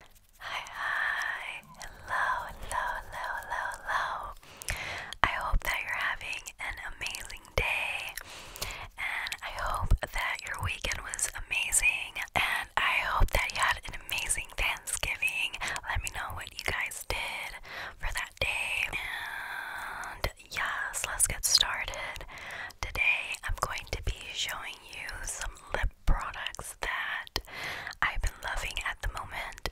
Hi, hi, hello, hello, hello, hello, I hope that you're having an amazing day, and I hope that your weekend was amazing, and I hope that you had an amazing Thanksgiving. Let me know what you guys did for that day, and yes, let's get started. Today, I'm going to be showing you some lip products that I've been loving at the moment,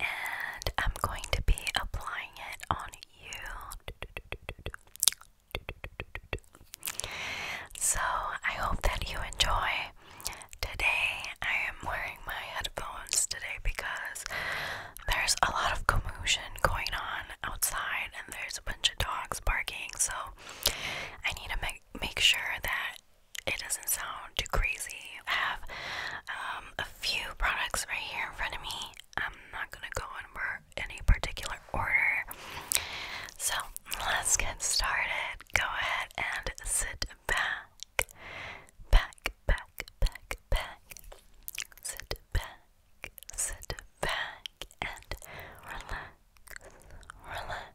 and I'm going to be applying it on you. So, I hope that you enjoy. Today, I am wearing my headphones today because there's a lot of commotion going on outside and there's a bunch of dogs barking, so I need to make make sure that it doesn't sound too crazy. I have um, a few products right here in front of me. I'm not gonna go in any particular order. So let's get started. Go ahead and sit back, back, back, back, back. Sit back, sit back, and relax, relax.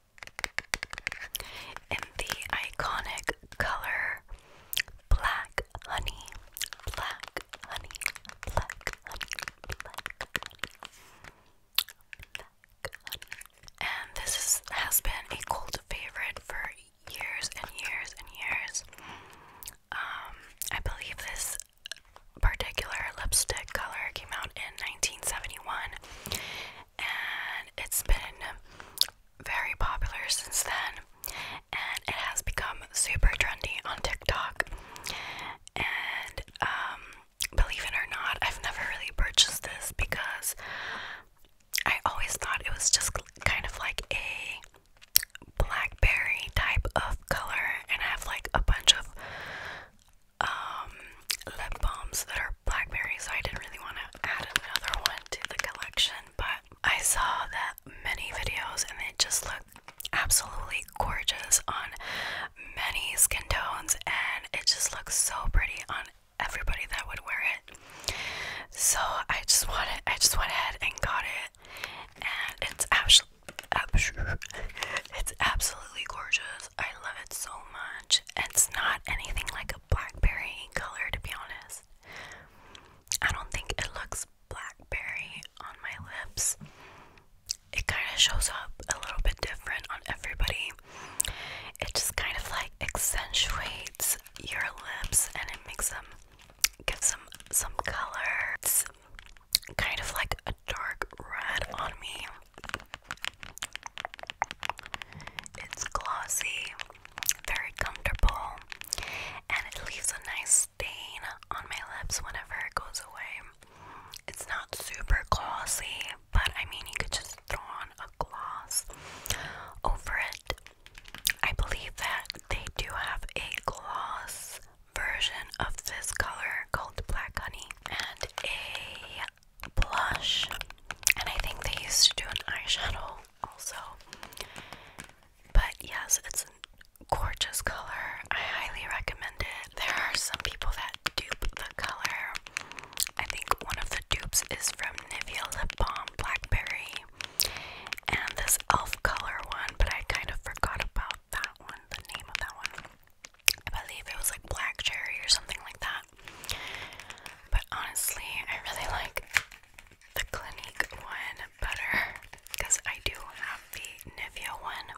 in the iconic color black honey, black honey, black honey, black honey. And this has been a cult favorite for years and years and years. Um, I believe this particular lipstick color came out in 1971 and it's been very popular since then and it has become super trendy on TikTok. And um, believe it or not, I've never really purchased this because I always thought it was just kind of like a blackberry type of color and I have like a bunch of um, lip balms that are blackberry, I didn't really want to add another one to the collection. But I saw that many videos, and they just look absolutely gorgeous on many skin tones, and it just looks so pretty on everybody that would wear it. So I just wanted, I just went ahead and got it, and it's actually, It's absolutely gorgeous. I love it so much. It's not anything like a blackberry color, to be honest. I don't think it looks blackberry on my lips. It kind of shows up a little bit different on everybody. It just kind of like accentuates your lips and it makes them give some some color. It's kind of like a dark red on me. It's glossy, very comfortable, and it leaves a nice stain on my lips whenever it goes away. It's not super glossy, but I mean, you could just throw on a gloss over it. I believe that they do have a gloss version of this color called Black Honey and a blush, and I think they used to do an eyeshadow also. But yes, it's a gorgeous color. I highly recommend it. There are some people that dupe the color. I think one of the dupes is from Nivea Lip Balm Blackberry and this e.l.f. color one, but I kind of forgot about that one, the name of that one. I believe it was like black cherry or something like that. But honestly, I really like the Clinique one better because I do have the Nivea one.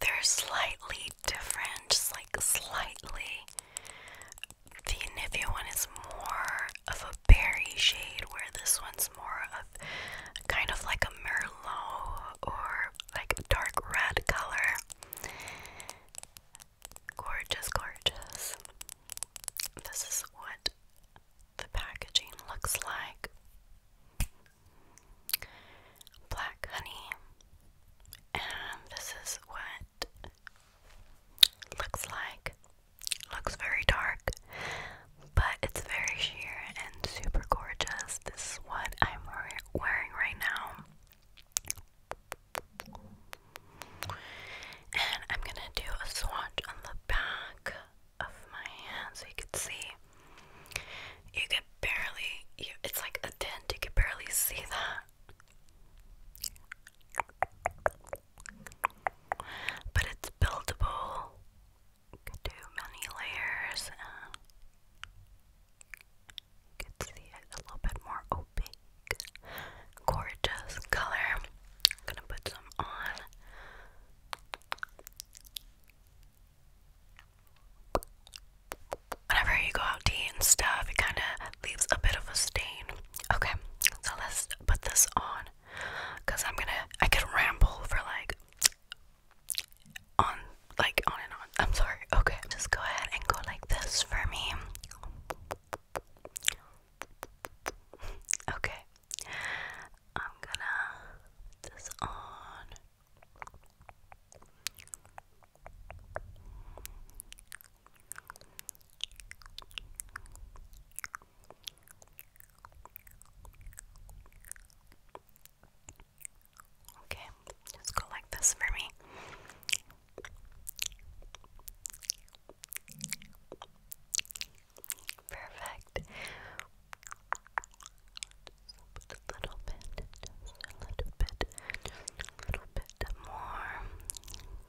They're slightly different, just like slightly. The Nivea one is more of a berry shade, where this one's more of kind of like a Merlot or like dark red color. Gorgeous, gorgeous. This is what the packaging looks like. Black honey, and this is what looks like. Looks very dark, but it's very sheer and super gorgeous. This is what I'm wearing right now. And I'm gonna do a swatch on the back of my hand so you can see. You can barely, it's like a dent, you can barely see that. But it's buildable. can do many layers. You can see it a little bit more opaque. Oh, Gorgeous color. gonna put some on. Whenever you go out to stuff, it kind of leaves a bit of a stain. Okay, so let's put this on because I'm gonna, I could ramble for like on like on and on. I'm sorry. Okay. Just go ahead and go like this for me. Okay. I'm gonna put this on. Okay, just go like this for me. Perfect. Just a little bit, just a little bit, just a little bit more.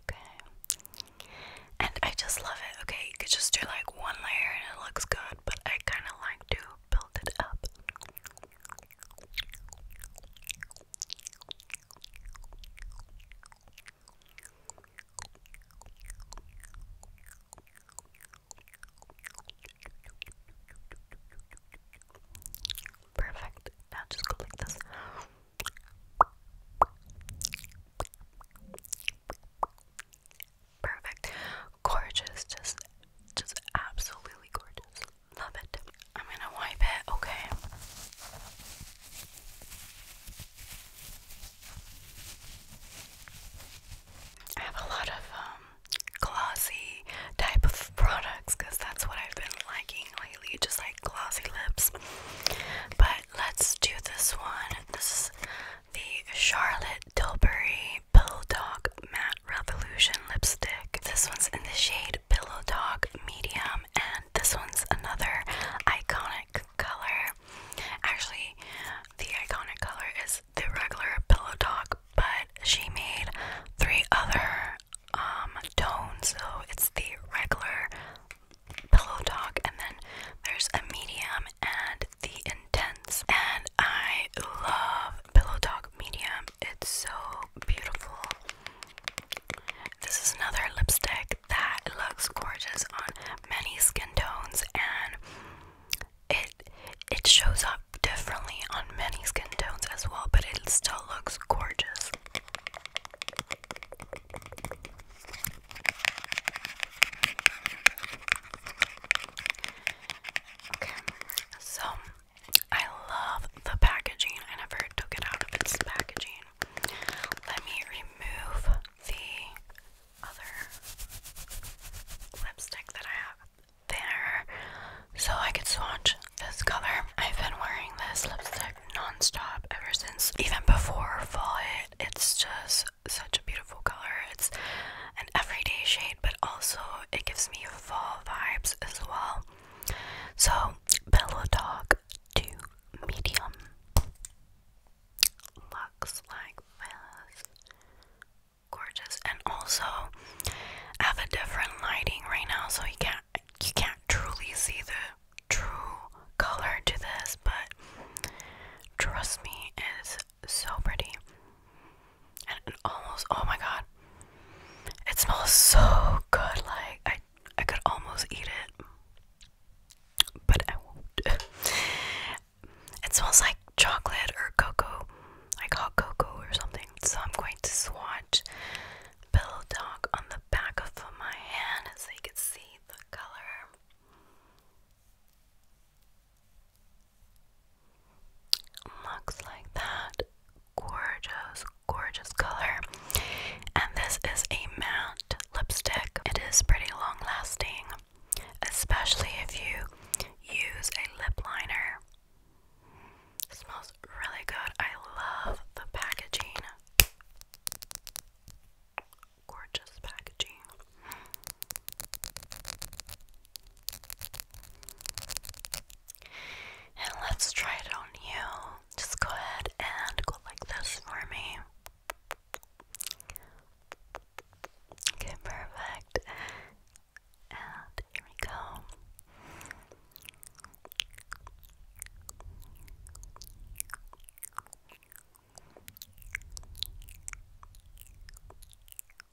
Okay. And I just love it. Okay, you could just do like one layer and it looks good, but I kind of like to build it up. Perfect. Now just go like this. Perfect. Gorgeous. Just just absolutely gorgeous. Love it. I'm gonna wipe it, okay? I have a lot of um, glossy type of products because that's what I've been liking lately, just like glossy lips. But let's do this one. This is the Charlotte Tilbury Bulldog Matte Revolution Lipstick. This one's in the shade Pillow Dog Medium, and this one's another iconic color. Actually, the iconic color is the regular Pillow Dog, but she made three other um, tones. So it's the regular Pillow Dog, and then there's a medium and the intense. And I love Pillow Talk Medium. It's so beautiful. This is another lipstick that looks gorgeous on many skin tones and it it shows up differently on many skin tones as well, but it still looks gorgeous. Okay, so I love the packaging. I never took it out of its packaging. Let me remove the other lipstick that I have there so I could swatch this color. I've been wearing this lipstick non-stop ever since even before fall hit. It's just such a beautiful color. It's an everyday shade but also it gives me fall vibes as well. So, Pillow Talk to Medium looks like this. Gorgeous, and also have a different lighting right now, so you can't you can't truly see the true color to this, but trust me, it's so pretty and, almost oh my god it smells so good like i i could almost eat it but i won't it smells like chocolate or cocoa like hot cocoa or something so i'm going to swatch pillow talk on the back of my hand so you can see the color Looks like that. Gorgeous, gorgeous color. And this is a matte lipstick. It is pretty long lasting, especially if you use a lip liner. smells really good. I love the packaging. Gorgeous packaging. And let's try it on you. Just go ahead and go like this for me. Okay, perfect. And here we go.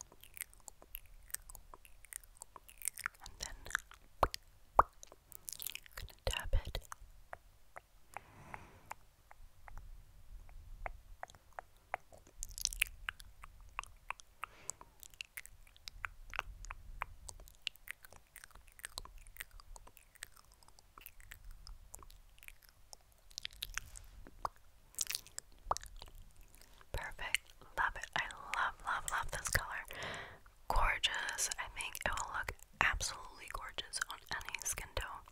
And then I'm gonna tap it. Perfect. Love it. I love, love, love this color. Gorgeous. I think it will look absolutely gorgeous on any skin tone.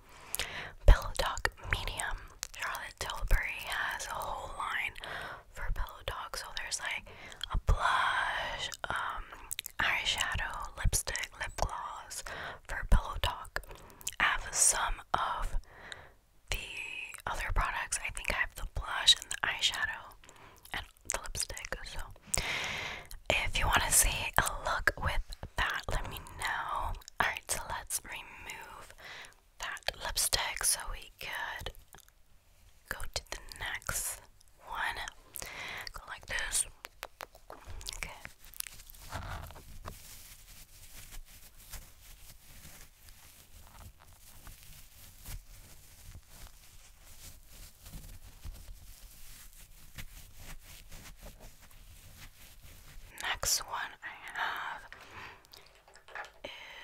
Pillow Talk Medium. Charlotte Tilbury has a whole line for Pillow Talk. So there's like a blush, um, eyeshadow, lipstick, lip gloss for Pillow Talk. have some of the other products, I think I have the blush and the eyeshadow and the lipstick. So, if you want to see a look with that, let me know. Alright, so let's remove that lipstick so we could go to the next one. Go like this. Okay. Next one I have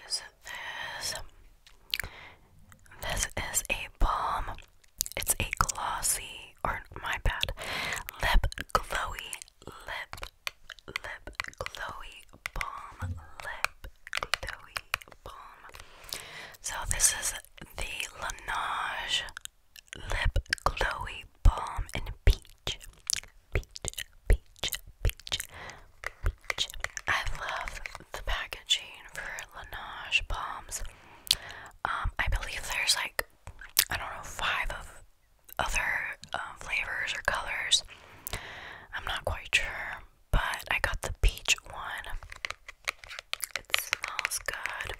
is this. This is a balm. It's a glossy, or my bad, lip glowy lip lip glowy Balm Lip Glowy Balm. So this is the Laneige Lip Glowy Balm in Peach. Peach, peach, peach, peach. I love the packaging for Laneige bombs. Um, I believe there's like, I don't know, five of other uh, flavors or colors. I'm not quite sure, but I got the peach one. It smells good.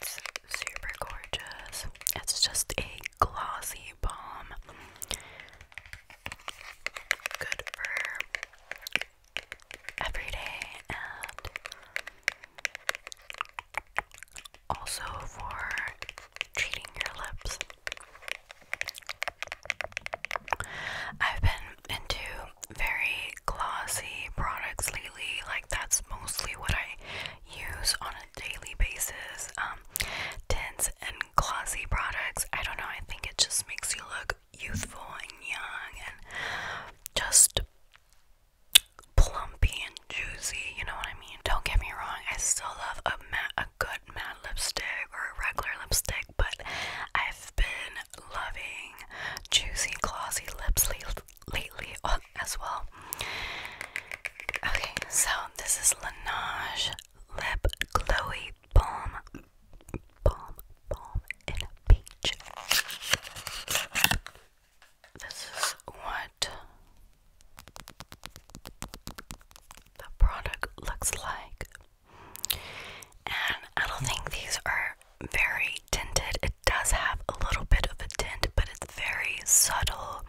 It's super gorgeous. It's just a glossy bomb. Good for every day and also for treating your lips. I've been into very glossy products lately, like that's mostly what I use on a daily basis. Um, tints and glossy products. I don't know, I think it just makes you look youthful and young and just plumpy and juicy, you know what I mean? Don't get me wrong, I still love a matte a good matte lipstick or a regular lipstick, but I've been loving juicy, glossy lips lately as well. Okay, so this is Laneige Lip Glowy Balm, Balm, Balm in a Peach. This is what the product looks like. And I don't think these are very tinted. It does have a little bit of a tint, but it's very subtle.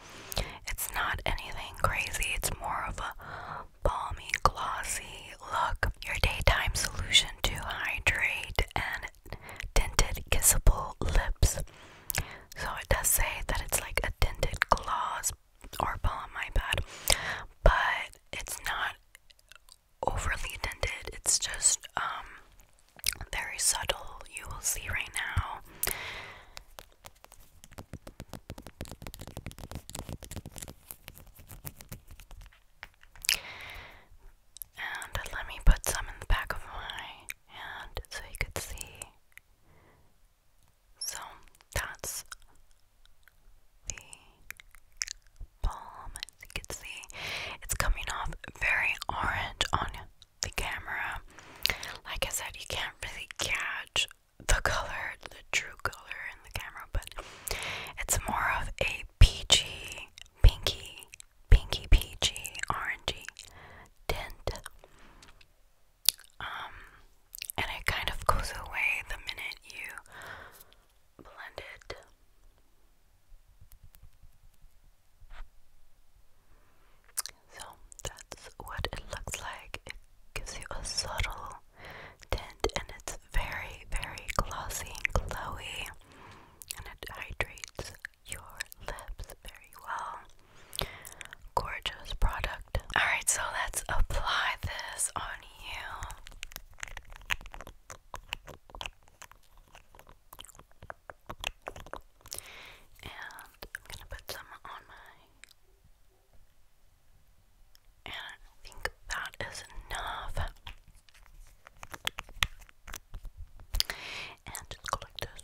It's not anything crazy, it's more of a balmy, glossy look. Your daytime solution to hydrate and tinted kissable lips. So it does say that it's like a tinted gloss, Orpal on my pad, but it's not overly intended. It's just um, very subtle. You will see right now. And let me put some in the back of my hand so you could see. So that's the palm. As you can see, it's coming off very orange on the camera. Like I said, you can't really catch the color, the true color in the camera, but it's more of a peachy, pinky, pinky, peachy, orangey tint. Um, and it kind of goes away the minute you blend it. So that's what it looks like. It gives you a subtle tint and it's very, very glossy and glowy. And it hydrates your lips very well. Gorgeous product. Alright, so let's apply this on you. And I'm gonna put some on my. And I think that is enough. And just go like this.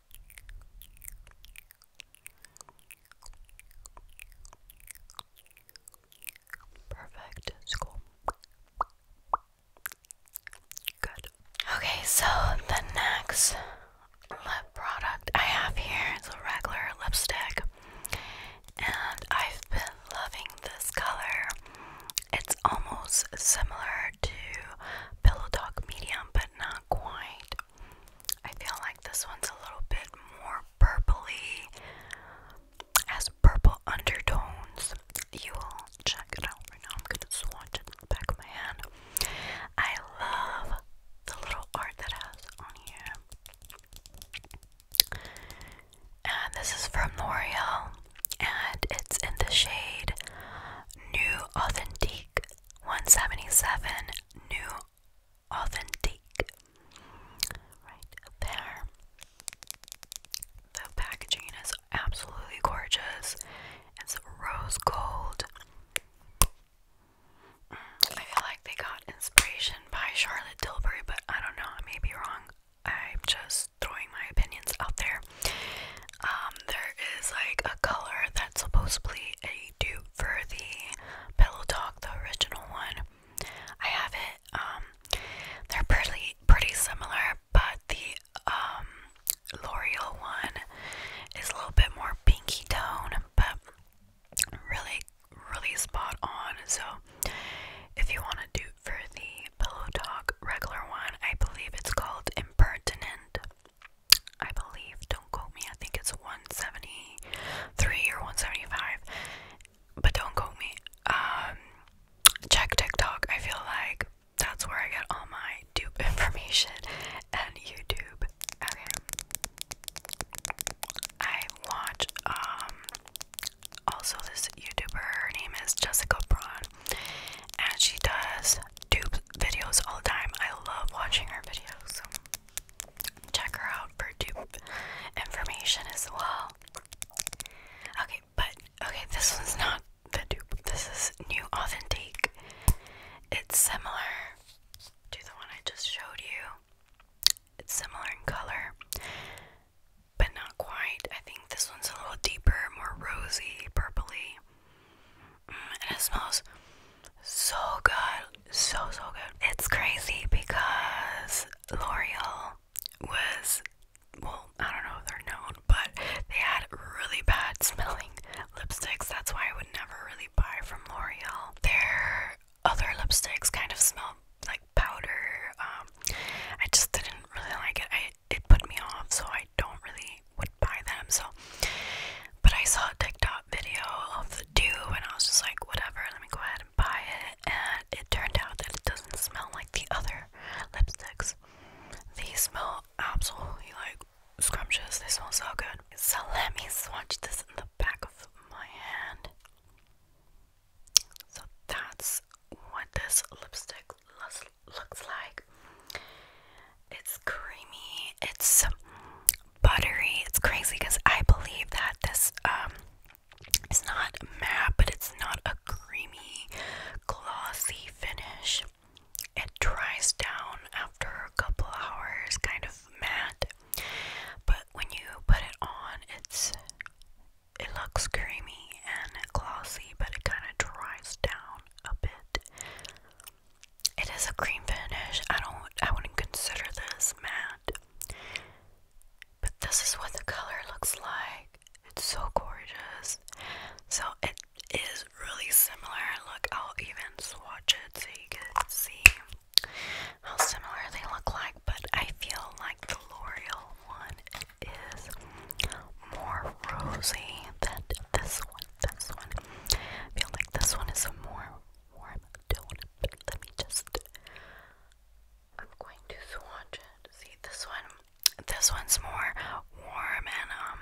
Perfect. Good. Okay, so the next lip product I have here is a regular lipstick, and I've been loving this color. It's almost similar to Pillow Talk Medium, but not quite. I feel like this one's a little bit more purpley, has purple undertones. You will check it out right now. I'm gonna swatch it back of my hand. I love the little art that has on here. And this is from L'Oreal, and it's in the shade New Authentique 177 New Authentic, Right there. The packaging is absolutely gorgeous. It's rose gold. Mm, I feel like they got inspiration by Charlotte Tilbury, but I don't know, I may be wrong. I'm just throwing my opinions out there. Um, there is like a color that's supposedly a dew for the Pillow Talk, the original one. I have it. Um, they're pretty pretty similar, but the um L'Oreal one is a little bit more pinky tone, but really really spot on. So if you want to do for the Pillow Talk regular one, I believe it's called Impertinent. I believe, don't quote me, I think it's 173 or 175, but don't quote me. Um, check TikTok. I feel like that's where I get all my dupe information and YouTube. Okay. I watch, um, also this YouTuber, her name is Jessica Braun, and she does dupe videos all the time. I love watching her videos check her out for dupe information as well. Okay, but okay, this one's not the dupe. This is new authentic. It's similar to the one I just showed you. It's similar in color, but not quite. I think this one's a little deeper, more rosy, purply. Mm, and it smells so good, so so good. It's crazy because L'Oreal was well, I don't know if they're known, but they had really bad smelling lipsticks. That's why I would never really buy from L'Oreal. Their other lipsticks kind of smell like powder. Um, I just didn't really like it. I it put me off, so I don't really would buy them. So but I saw a TikTok video of the dupe and I was just like, whatever, let me go ahead and buy it. And it turned out that it doesn't smell like the other lipsticks. These smell absolutely like scrumptious. They smell so good. So let me swatch this in the back of my hand. So that's what this lipstick looks like. It's creamy. It's buttery. It's crazy because I believe that this um it's not matte, but it's not a creamy, glossy finish. It dries down after a couple hours, kind of matte. But when you put it on, it's it looks creamy and glossy, but it kind of dries down a bit. It is a cream finish. I don't I wouldn't consider this matte. But this is what the color looks like. It's so gorgeous. So it is really similar. Look, I'll even swatch it so you can see how similar they look like, but I feel like the L'Oreal one is more rosy than this one. This one. I feel like this one is more warm tone, let me just. I'm going to swatch it. See this one. This one's more warm and um,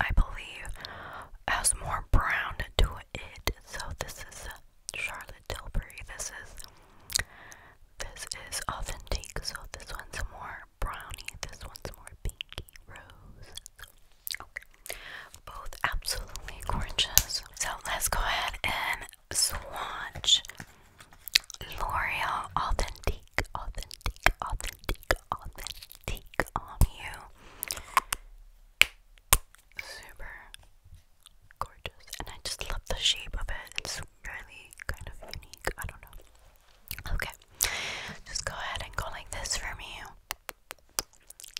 I believe has more brown to it. So this is Charlotte Tilbury. This is this is authentic. So this one's more brownie. This one's more pinky rose. Okay. Both absolutely gorgeous. So let's go ahead and swatch L'Oreal Authentique, Authentique, Authentique, Authentique on you. Super gorgeous. And I just love the shape of it. It's really kind of unique. I don't know. Okay. Just go ahead and go like this for me.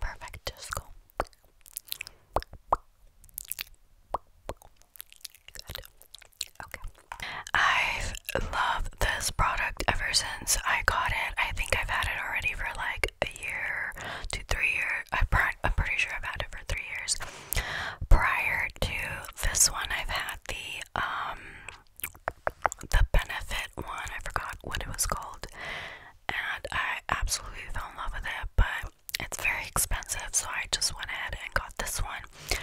Perfect, just go. Okay. I've loved this product ever since I got it. I think I've had it already for like a year to three years. I'm pretty sure I've had it for three years. Prior to this one, I've had the um the benefit one, I forgot what it was called, and I absolutely fell in love with it, but it's very expensive, so I just went ahead and got this one.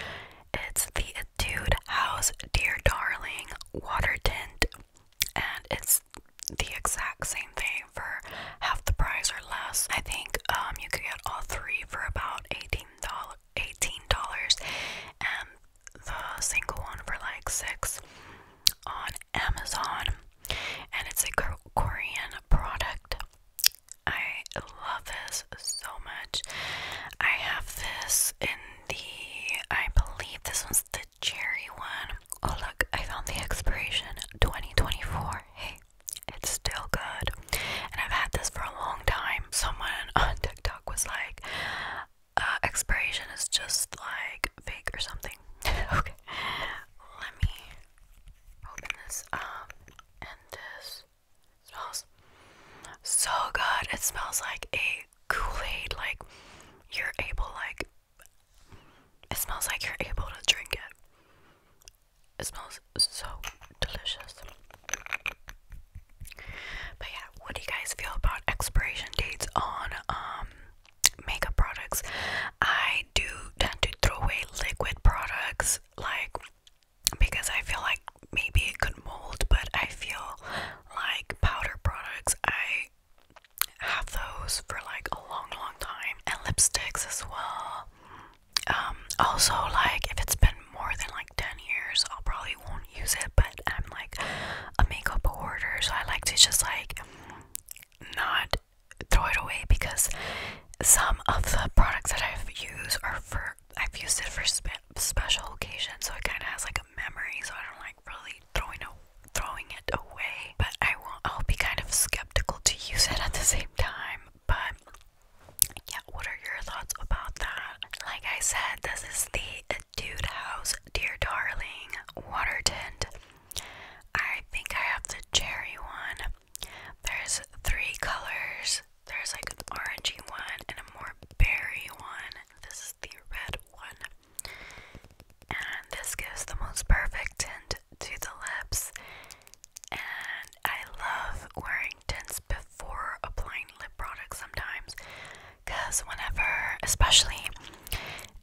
It's the Etude House Dear Darling Water Tint, and it's the exact same thing for half the price or less. I think um, you could get all three for about $18, $18 and the single one for like six on Amazon, and it's a Korean product. I love this so much. I have this in the, I believe this was the cherry one. Oh, look, I found the expiration 2024. Hey, it's still good. And I've had this for a long time. Someone on TikTok was like, uh, expiration is just like fake or something. okay, let me open this up and this smells so good. It smells like a Kool-Aid. Like you're able, like it smells like you're able to drink it. It smells so delicious. But yeah, what do you guys feel about expiration dates on um makeup products? I do tend to throw away liquid products like because I feel like maybe it could mold, but I feel like powder products I have those for like a long long time and lipsticks as well. Um also like if it's been more than like 10 years, I'll probably won't use it, but I'm like a makeup hoarder, so I like to just like not throw it away because some of the products that I've used are for I've used it for special occasions, so it kind of has like a memory. So I don't like really throwing it away, but I will I'll be kind of skeptical to use it at the same time. But yeah, what are your thoughts about that? Like I said, this is the Dude House, Dear Darling, Water Tint. I think I have the cherry one. There's three colors. There's like an orangey one and a more berry one. This is the red one. And this gives the most perfect tint to the lips. And I love wearing tints before applying lip products sometimes Cause whenever, especially,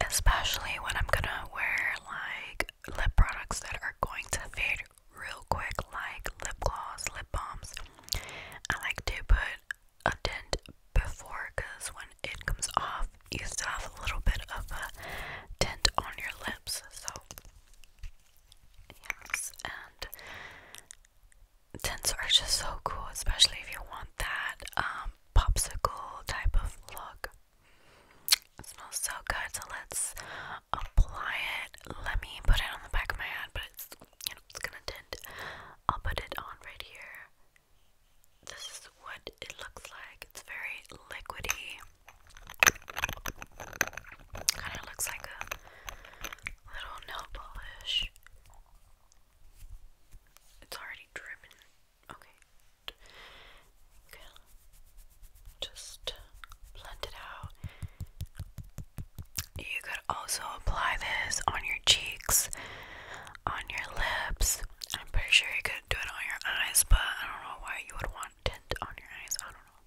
especially when I'm gonna wear like lip products that are going to fade real quick, like lip gloss, lip balms, I like to put a tint before, cause when it comes off, you still have a little bit of a tint on your lips. So yes, and tints are just so cool, especially if you want that um, popsicle type of look. It smells so good, so let's apply it. Let me put it on the back of my hand, but it's you know it's gonna tint. I'll put it on right here. This is what it looks like. It's very liquidy. Kind of looks like a little nail polish. It's already driven. Okay. Okay. Just blend it out. You could also apply this on your cheeks, on your lips. I'm pretty sure you could do it on your eyes, but I don't know why you would want tint on your eyes. I don't know.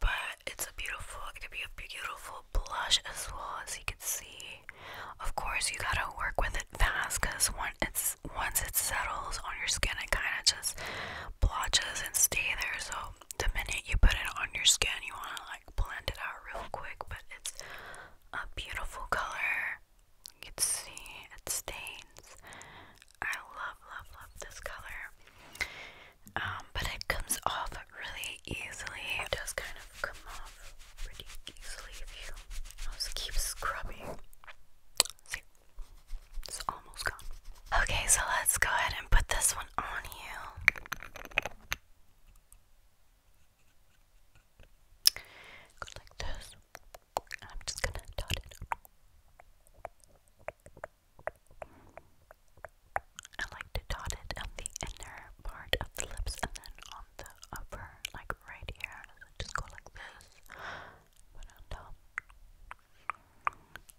But it's a beautiful, it could be a beautiful blush as well as you can see. Of course, you gotta work with it fast because once it's once it settles on your skin, it kind of just blotches and stay there. So the minute you put it on your skin, you wanna like blend it out real quick. But it's a beautiful color. You can see it stains. I love, love, love this color. Um, but it comes off really easily. It does kind of come off off pretty easily if you just keep scrubbing. See, it's almost gone. Okay, so let's go ahead and put this one on you. like this. And I'm just gonna dot it. I like to dot it on the inner part of the lips and then on the upper, like right here. just go like this.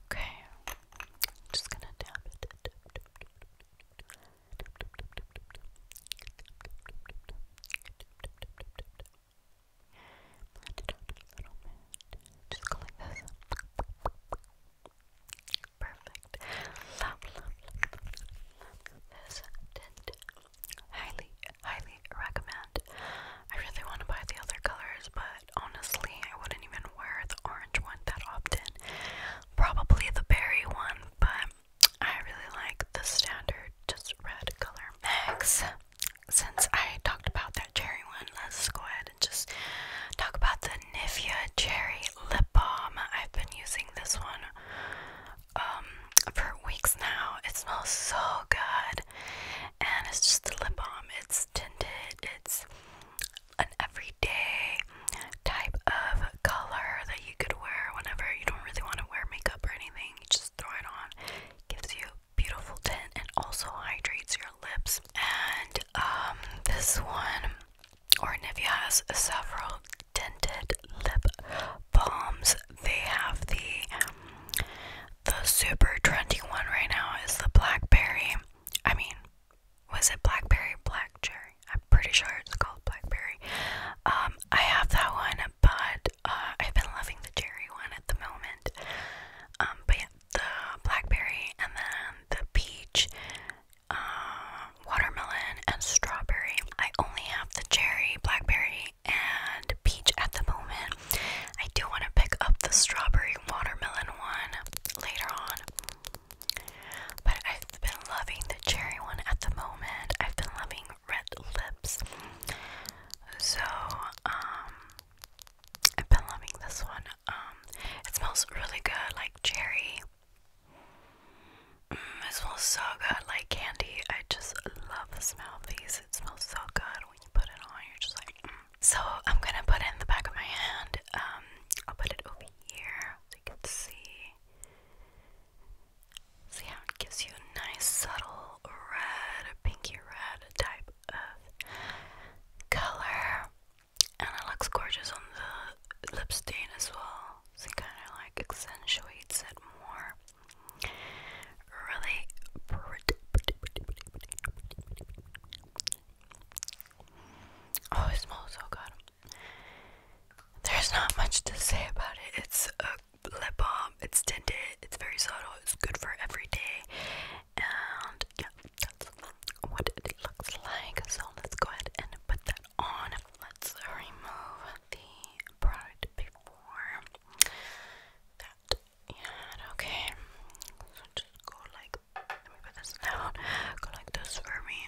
Okay. Just gonna tap it. Just go like this. Perfect perfect. Highly, highly recommend. I really want to buy the other colors, but honestly, I wouldn't even wear the orange one that often. Probably the berry one, but I really like the standard just red color. mix. since I talked about that cherry one, let's go ahead and just talk about the Nivea cherry lip balm. I've been using this one um, for weeks now. It smells so good, and it's just a lip balm. It's tinted. It's an everyday type of color that you could wear whenever you don't really want to wear makeup or anything. You just throw it on. gives you beautiful tint and also hydrates your lips. And um, this one, or Nivea has several Dented lip balms. They have the the super trendy one right now is the blackberry. I mean, was it blackberry, black cherry? I'm pretty sure it's called blackberry. Um, I have that one, but uh, I've been loving the cherry one at the moment. Um, but yeah, the blackberry and then the peach um, watermelon, and strawberry. I only have the cherry, blackberry, and peach at the moment. I do want to pick up the strawberry watermelon one later on. But I've been loving the cherry one at the moment. I've been loving red lips. So, um, I've been loving this one. Um, it smells really good, like cherry. Mm, smells so good, like candy. I just love the smell of these. It smells so good when you put it on. You're just like, mm. so I'm gonna put it in the back of my hand. Um, I'll put it over here so you can see. See how it gives you a nice, subtle red, a pinky red type of color, and it looks gorgeous on the lip stain as well it kind of like accentuates it more. Really pretty. Oh, it smells so good. There's not much to say about it. It's a lip balm. It's tinted. It's very subtle. It's good for every day. And yeah, that's what it looks like. So let's go ahead and put that on. Let's remove the product before that you Okay, so just go like, let me put this down, go like this for me.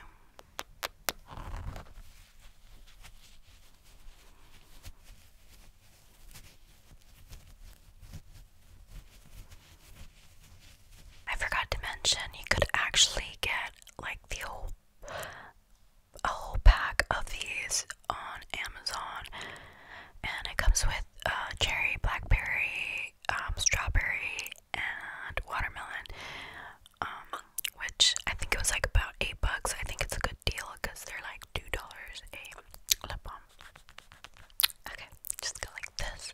I forgot to mention you could actually get like the whole a whole pack of these on Amazon, and it comes with uh, cherry, blackberry, um, strawberry, and watermelon. Um, which I think it was like about eight bucks. I think it's a good deal because they're like two dollars a lip balm. Okay, just go like this.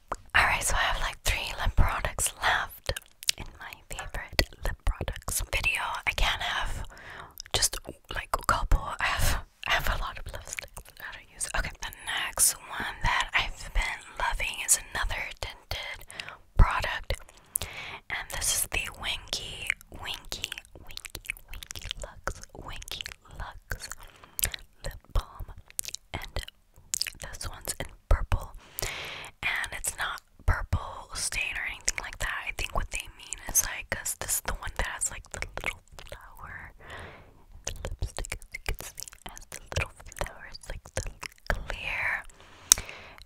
Alright, so I have like three lip products left in my favorite lip products video. I can't have just like a couple. I have I have a lot of lipsticks that I don't use. Okay, the next one that I've been loving is another tinted product. And this is the Winky Winky Winky Winky Lux Winky Lux Lip Balm. And this one's in purple and it's not purple stain or anything like that. I think what they mean is like, this is the one that has like the little flower. The lipstick, as you can see, has the little flower. It's like the clear.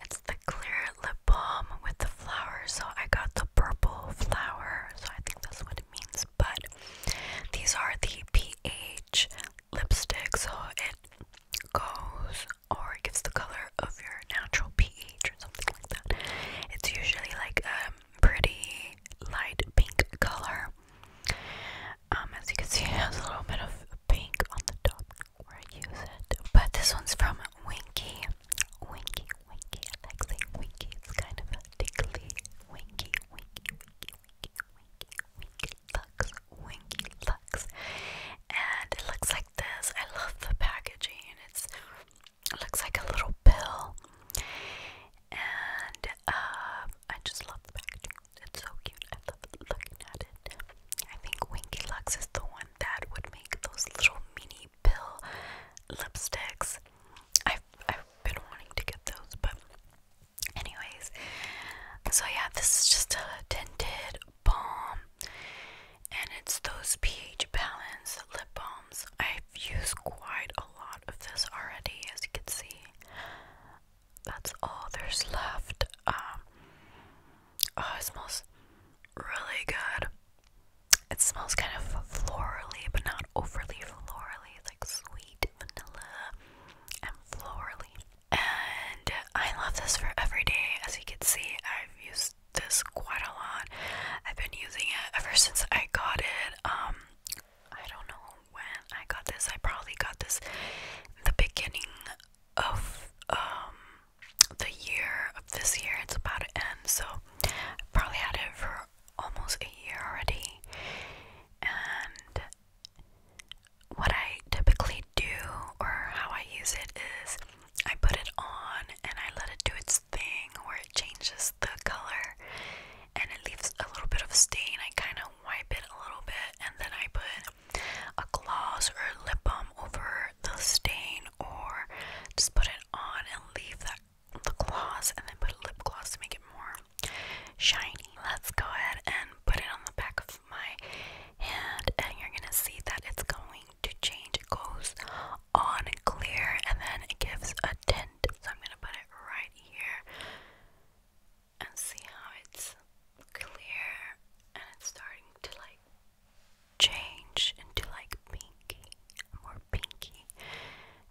It's the clear lip balm with the flower. So I got the purple flower. So I think that's what it means. But these are the pH lipsticks. So goes or it gives the color of your natural pH or something like that. It's usually like a pretty light pink color. Um, as you can see, it has a little bit of pink on the top where I use it. But this one's from Winky. Winky, Winky. I like saying Winky. It's kind of a Winky, Winky, Winky, Winky, Winky, Winky. Winky Lux. And it looks like this. I love the packaging. It's looks like a little pill. And um, I just love the packaging. It's so cute. I love looking at it. I think Winky Lux is the one that would make those little mini pill lipsticks. I've I've been wanting to get those, but Anyways, so yeah, this is just a tinted balm, and it's those pH balance lip balms. I've used quite a lot of this already, as you can see. That's all there's left. Um, oh, it smells really good. It smells kind of florally, but not overly florally. It's like sweet vanilla and florally. And I love this for every day. As you can see, I've used this quite a lot. I've been using it ever since I got it. Um, I don't know when I got this. I probably got this the beginning of um the year of this year. It's about to end, so I probably had it for almost a year already. And what I typically do or how I use it is I put it on and I let it do its thing where it changes the color and it leaves a little bit of stain. I kind of wipe it a little bit and then I put a gloss or a lip balm over the stain or just put it on and leave that the gloss and then put a lip gloss to make it more shiny. Let's go ahead and put it on the back of my hand and you're gonna see that it's going to change. It goes on clear and then it gives a tint. So I'm gonna put it right here and see how it's clear and it's starting to like change into like pinky, more pinky.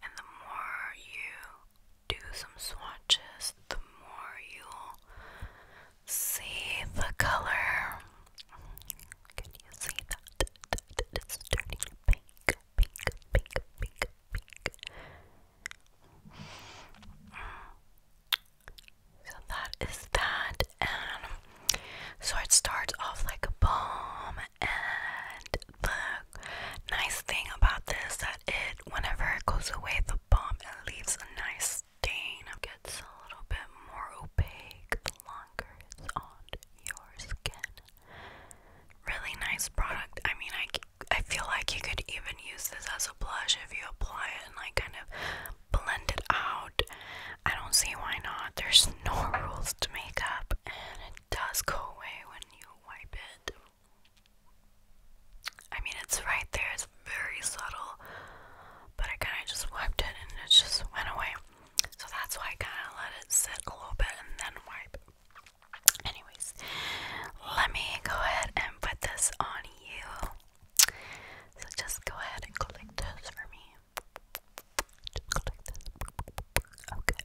And the more you do some swatches, the more you'll see the color. Can you see that? It's turning pink, pink, pink, pink, pink. So that is that, and so it starts off like a bomb. And the nice thing about this it, whenever it goes away, the bomb it leaves a nice stain. It gets a little bit more opaque the longer it's on your skin. Really nice product. I mean, I, I feel like you could even use this as a blush if you apply it and like kind of blend it out. I don't see why not. There's no rules to makeup, and it does go away when you wipe it I mean, it's right there, it's very subtle, but I kind of just wiped it and it just went away. So that's why I kind of let it sit a little bit and then wipe. Anyways, let me go ahead and put this on you. So just go ahead and collect this for me. Just click this. Okay.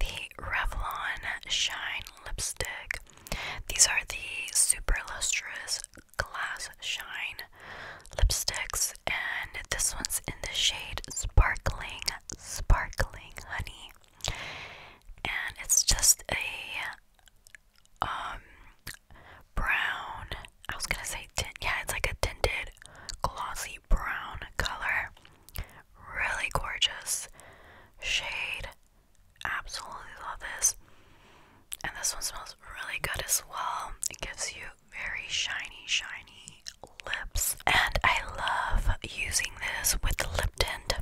the Revlon Shine Lipstick. These are the Super Lustrous Glass Shine lipsticks, and this one's in the shade Sparkling, Sparkling Honey. And it's just a um brown, I was gonna say tint, yeah, it's like a tinted glossy brown color. Really gorgeous shade. Absolutely love this. And this one smells really good as well. It gives you very shiny, shiny lips. And I love using this with the lip tint.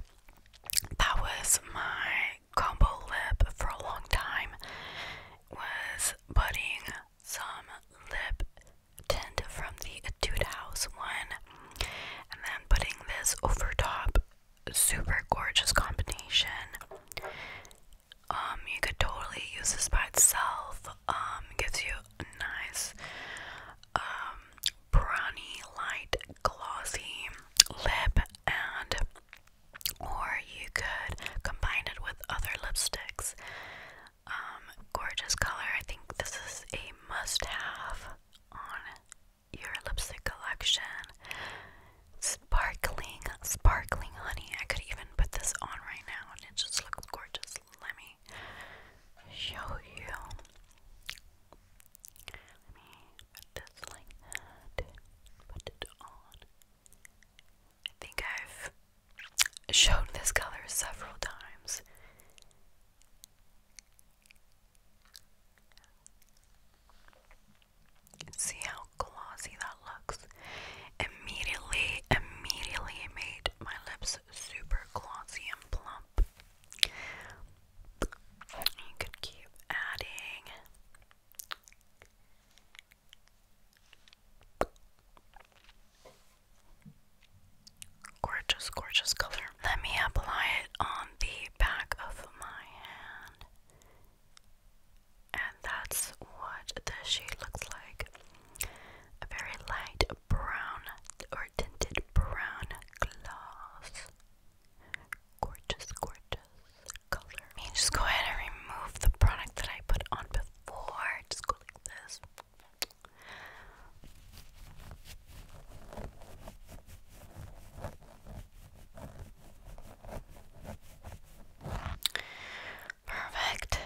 That was my combo lip for a long time was putting some lip tint from the Etude House one, and then putting this over top. Super gorgeous combination. Um, you could totally use this by itself. Um, gives you a nice, um, brawny, light, glossy lip, and or you could combine it with other lipsticks. Um, gorgeous color. I think this is a must-have on your lipstick collection. Sparkling, sparkling honey. I could even put this on right now and it just looks gorgeous. Let me show you. Let me put this like Put it on. I think I've shown this color several times. See how glossy that looks. Immediately, immediately made my lips super glossy and plump. You could keep adding. Gorgeous, gorgeous color. Let me apply it on the back of my hand. And that's what the shade looks like. A very light brown or tinted brown gloss. Gorgeous, gorgeous color. just go ahead and remove the product that I put on before. Just go like this. Perfect.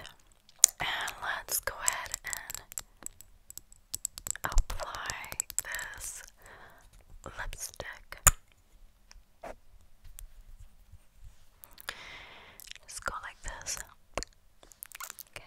And let's go ahead and apply this lipstick. Just go like this. Okay.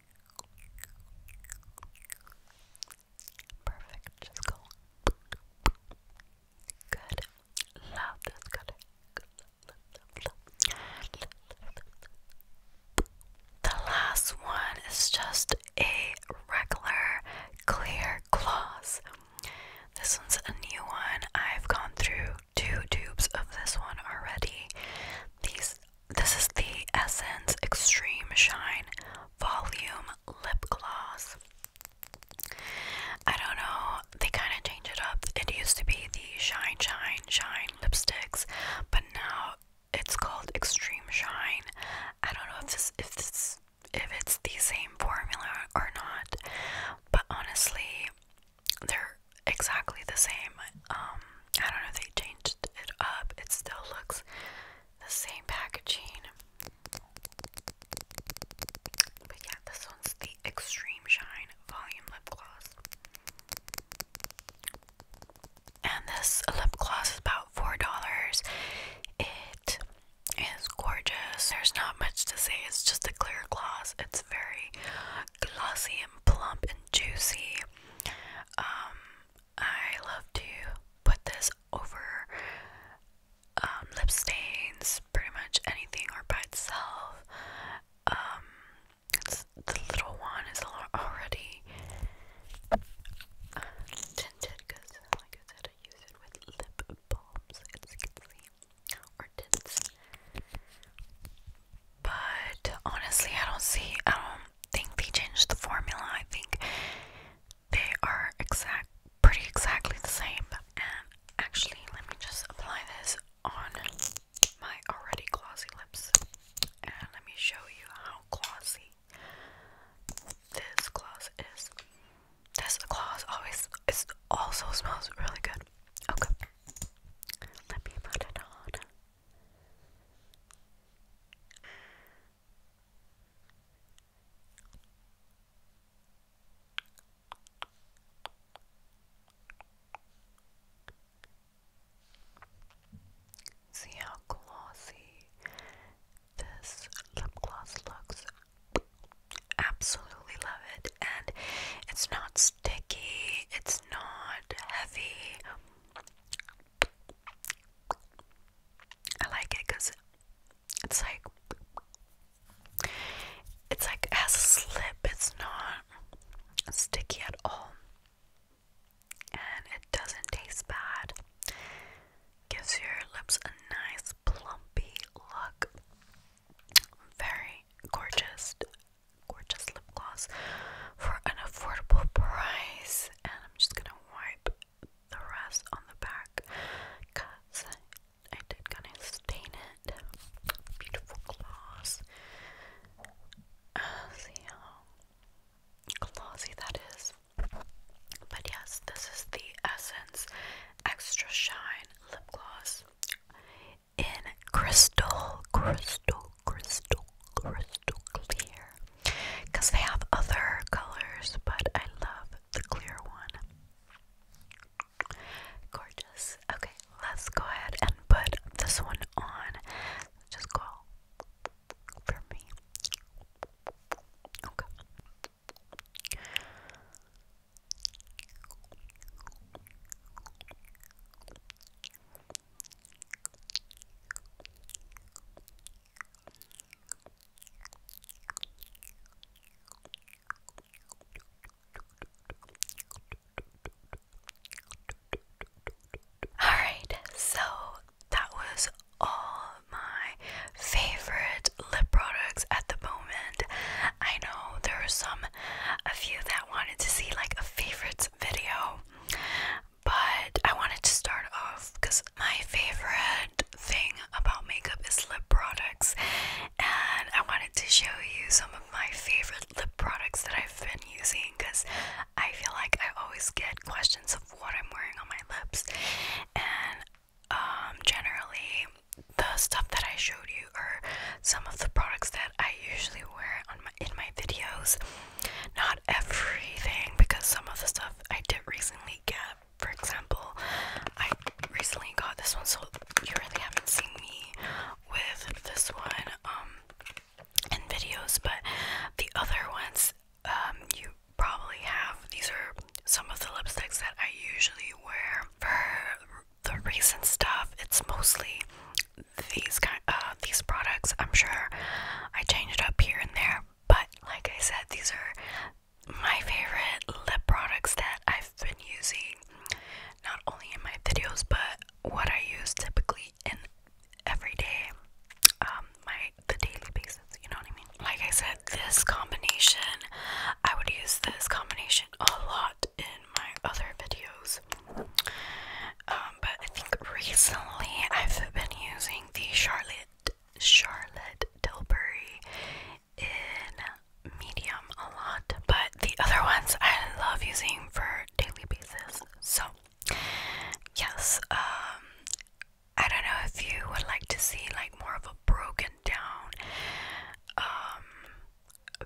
Perfect, just go. Good. Love, that's good. The last one is just a regular clear gloss. This one's a new one. I've gone through two tubes of this one already. These this is the Essence Extreme Shine Volume Lip Gloss. I don't know, they kind of changed it up. It used to be the Shine, Shine, Shine lipsticks, but now it's called Extreme Shine. I don't know if this, if this, if it's the same formula or not, but honestly, they're exactly the same. Um, I don't know if they changed it up. It still looks the same packaging. But yeah, this one's the Extreme Shine Volume Lip Gloss. And this lip gloss is about $4. It is gorgeous. There's not much to say. It's just a clear gloss. It's very glossy and plump and juicy. Um, I love to put this over um, lip stains, pretty much anything or by itself. Um, the little one is already tinted because, like I said, I use it with lip balms, as you can see, or tints. But honestly, I don't see, think they changed the formula. I think they are exact, pretty exactly the same. And actually, let me just apply this on my already glossy lips, and let me show you how glossy this gloss is. This gloss always is also smells really good. Okay, let me put it on. See how glossy this lip gloss looks. Absolutely love it, and it's not sticky, it's not heavy. I like it because it's like it's like it has a slip. It's not sticky at all, and it doesn't taste bad. Gives your lips a nice plumpy look. Very gorgeous, gorgeous lip gloss for an affordable price and I'm just gonna wipe the rest on the back because I did kind of stain it. Beautiful gloss. Uh, see how glossy that is. But yes, this is the Essence Extra Shine Lip Gloss in Crystal, Crystal, crystal, crystal clear. Because they have other colors, but I love the clear one. Gorgeous. Okay, let's go ahead and put this one on. Just go for me. Okay. All right, so that was all my favorite lip products at the moment. I know there are some, a few that wanted to see like a favorites video, but I wanted to start off because my favorite thing about makeup is lip products, and I wanted to show you some of my favorite lip products that I've been using because I feel like I always get questions of what I'm wearing on my lips, and um, generally, the stuff that I showed you are some of the products that I usually wear on my in my videos not everything because some of the stuff I did recently get. For example, I recently got this one, so you really haven't seen me with this one um, in videos, but the other ones um, you probably have. These are some of the lipsticks that I usually wear. For the recent stuff, it's mostly these kind, of uh, these products. I'm sure I change it up here and there, but like I said, these are my favorite lip products that I've been using not only in my videos but what I use typically in everyday um, my the daily basis, you know what I mean? Like I said, this combination I would use this combination a lot in my other videos. Um, but I think recently I've been using the Charlotte Charlotte Tilbury in medium a lot, but the other ones I love using for daily basis. So yes, um, I don't know if you would like to see like more of a broken down um,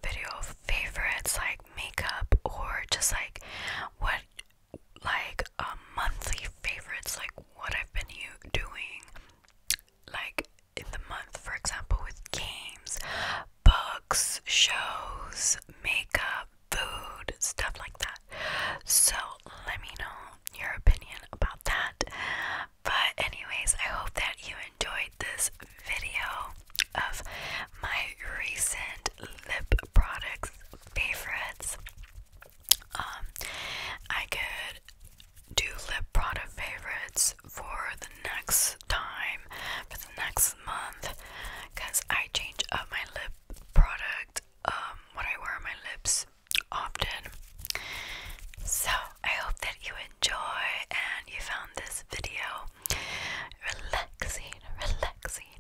video of favorites like makeup or just like what like um, monthly favorites, like what I've been u doing, like in the month, for example, with games, books, shows, makeup, food, stuff like that. So let me know your opinion about that. But, anyways, I hope that you enjoyed this video of my recent lip products, favorites. Um, I could do lip product favorites for the next time, for the next month, because I change up my lip product, um, what I wear on my lips often. So, I hope that you enjoy and you found this video relaxing, relaxing,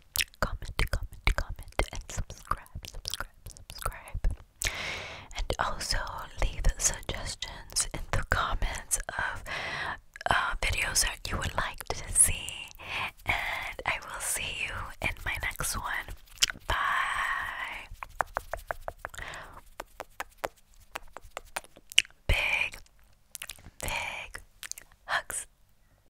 comment, comment, comment, and subscribe, subscribe, subscribe. And also leave suggestions in the comments of uh, videos that you would like to see. And I will see you in my next one. Bye. Big, big hugs.